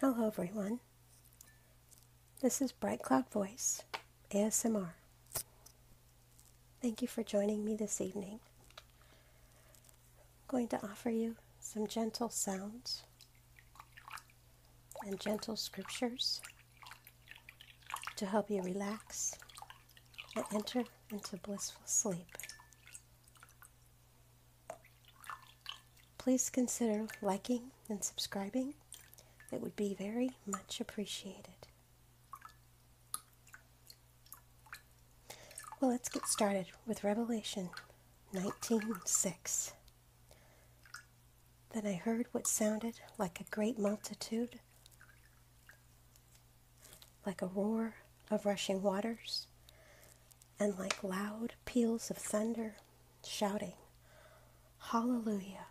Hello, everyone. This is Bright Cloud Voice, ASMR. Thank you for joining me this evening. I'm going to offer you some gentle sounds and gentle scriptures to help you relax and enter into blissful sleep. Please consider liking and subscribing. That would be very much appreciated. Well, let's get started with Revelation 19:6. Then I heard what sounded like a great multitude like a roar of rushing waters, and like loud peals of thunder, shouting, Hallelujah!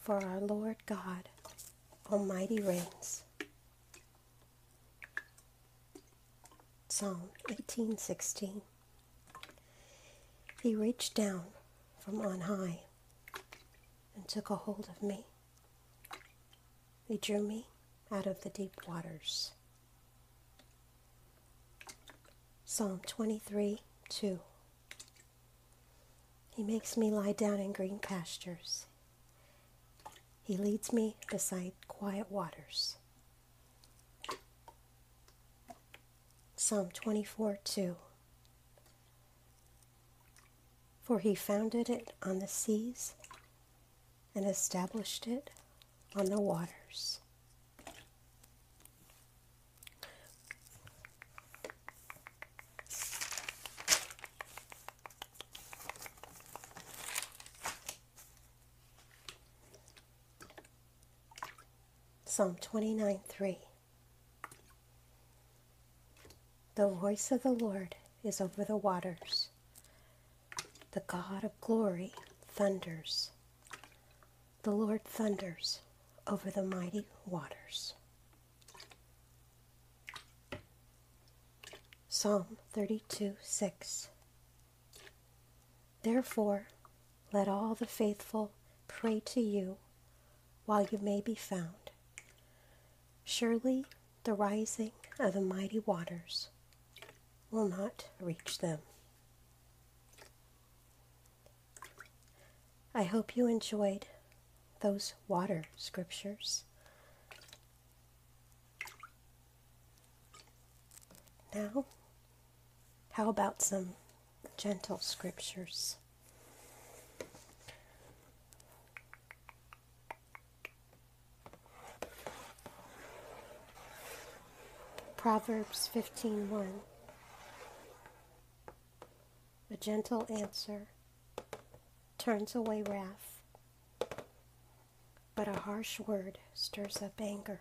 For our Lord God Almighty reigns. Psalm 18:16 He reached down from on high and took a hold of me he drew me out of the deep waters. Psalm 23 2. He makes me lie down in green pastures. He leads me beside quiet waters. Psalm 24 2. For he founded it on the seas and established it on the waters. Psalm 29 3 the voice of the Lord is over the waters. The God of glory thunders. The Lord thunders over the mighty waters. Psalm 32 6. Therefore, let all the faithful pray to you while you may be found. Surely the rising of the mighty waters will not reach them. I hope you enjoyed those water scriptures. Now, how about some gentle scriptures. Proverbs 15:1 A gentle answer turns away wrath, but a harsh word stirs up anger.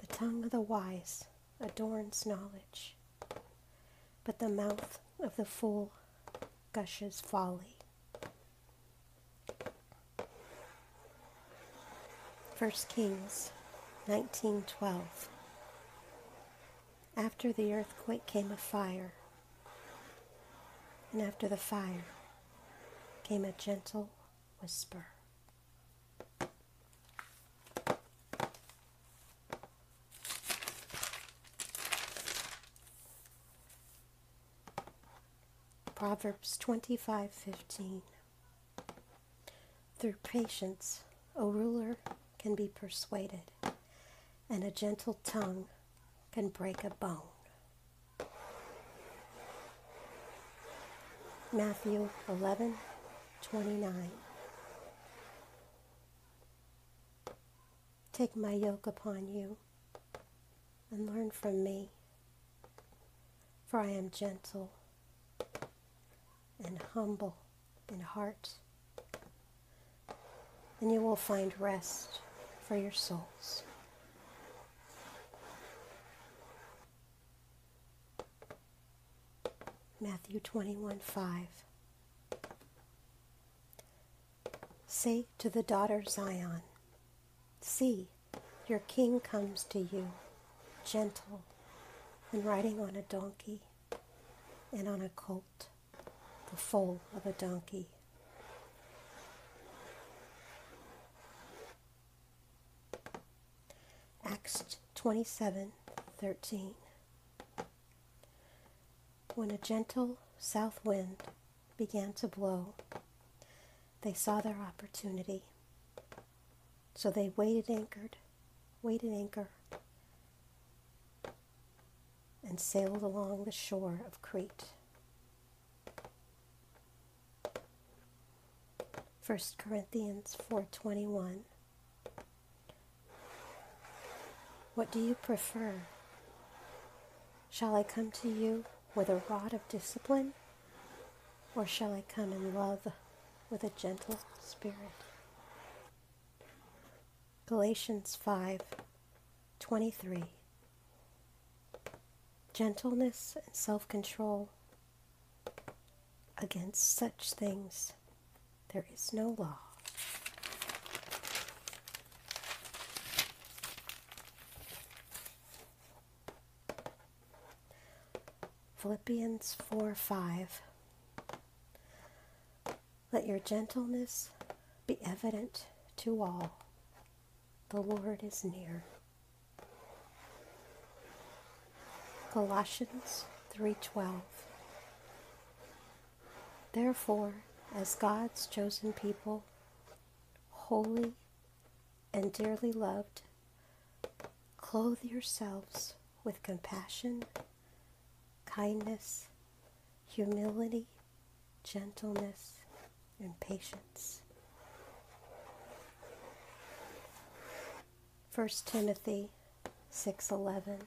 The tongue of the wise adorns knowledge, but the mouth of the fool gushes folly. First Kings 19:12 After the earthquake came a fire, and after the fire came a gentle whisper. Proverbs 25:15 Through patience a ruler can be persuaded and a gentle tongue can break a bone. Matthew 11 29. Take my yoke upon you and learn from me, for I am gentle and humble in heart, and you will find rest for your souls. Matthew 21 5. Say to the daughter Zion, See, your king comes to you, gentle and riding on a donkey and on a colt, the foal of a donkey. Acts twenty seven, thirteen. When a gentle south wind began to blow, they saw their opportunity. So they waited anchored, waited anchor, and sailed along the shore of Crete. 1 Corinthians 4:21 What do you prefer? Shall I come to you with a rod of discipline or shall I come in love with a gentle spirit? Galatians 5:23 gentleness and self control. Against such things there is no law. Philippians 4 5. Let your gentleness be evident to all. The Lord is near. Colossians 3:12 Therefore, as God's chosen people, holy and dearly loved, clothe yourselves with compassion, kindness, humility, gentleness, and patience. 1 Timothy 6:11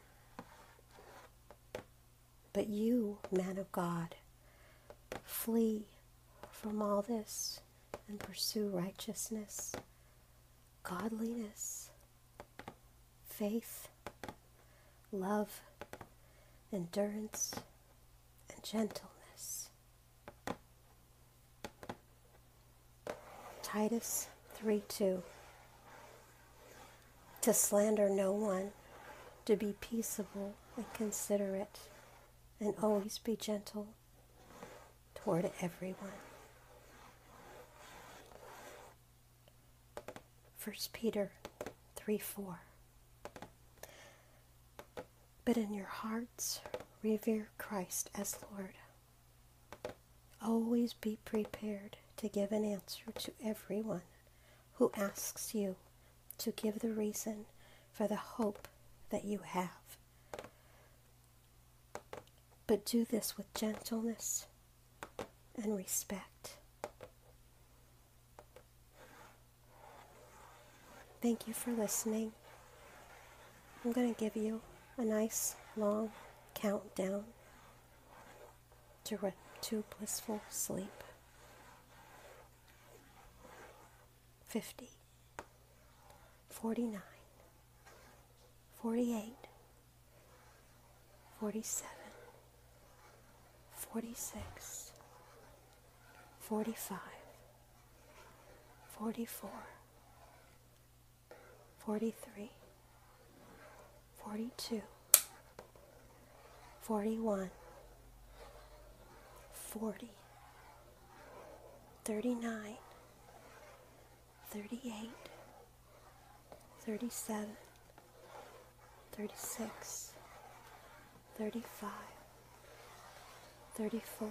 But you, man of God, flee from all this and pursue righteousness, godliness, faith, love, endurance, and gentleness. Titus 3 2. To slander no one, to be peaceable and considerate, and always be gentle toward everyone. 1 Peter 3 4. But in your hearts, revere Christ as Lord. Always be prepared to give an answer to everyone who asks you to give the reason for the hope that you have. But do this with gentleness and respect. Thank you for listening. I'm going to give you a nice long countdown to, re- to blissful sleep. 50, 49, 48, 47, 46, 45, 44, 43, 42, 41, 40, 39, 38, 37, 36, 35, 34,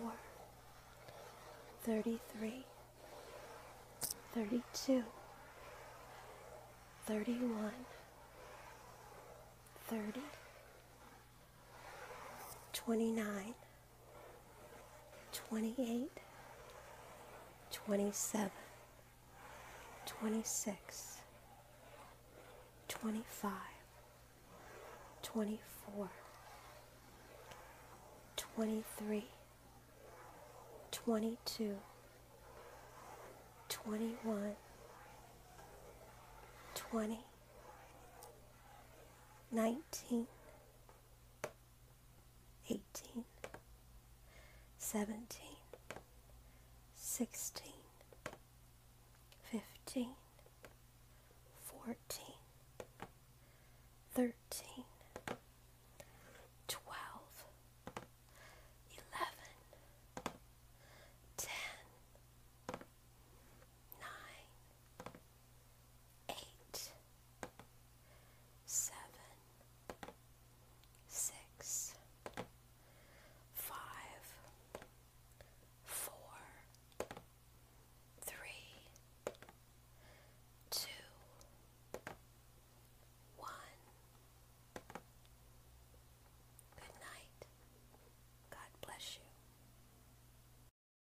33, 32, 31, 30, 29, 28, 27, 26, 25, 24, 23, 22, 21, 20, 19, eighteen, seventeen, sixteen, fifteen, fourteen, thirteen, twelve, eleven, ten, nine, eight seven, six, five, four, three, two, one. Good night. God bless you.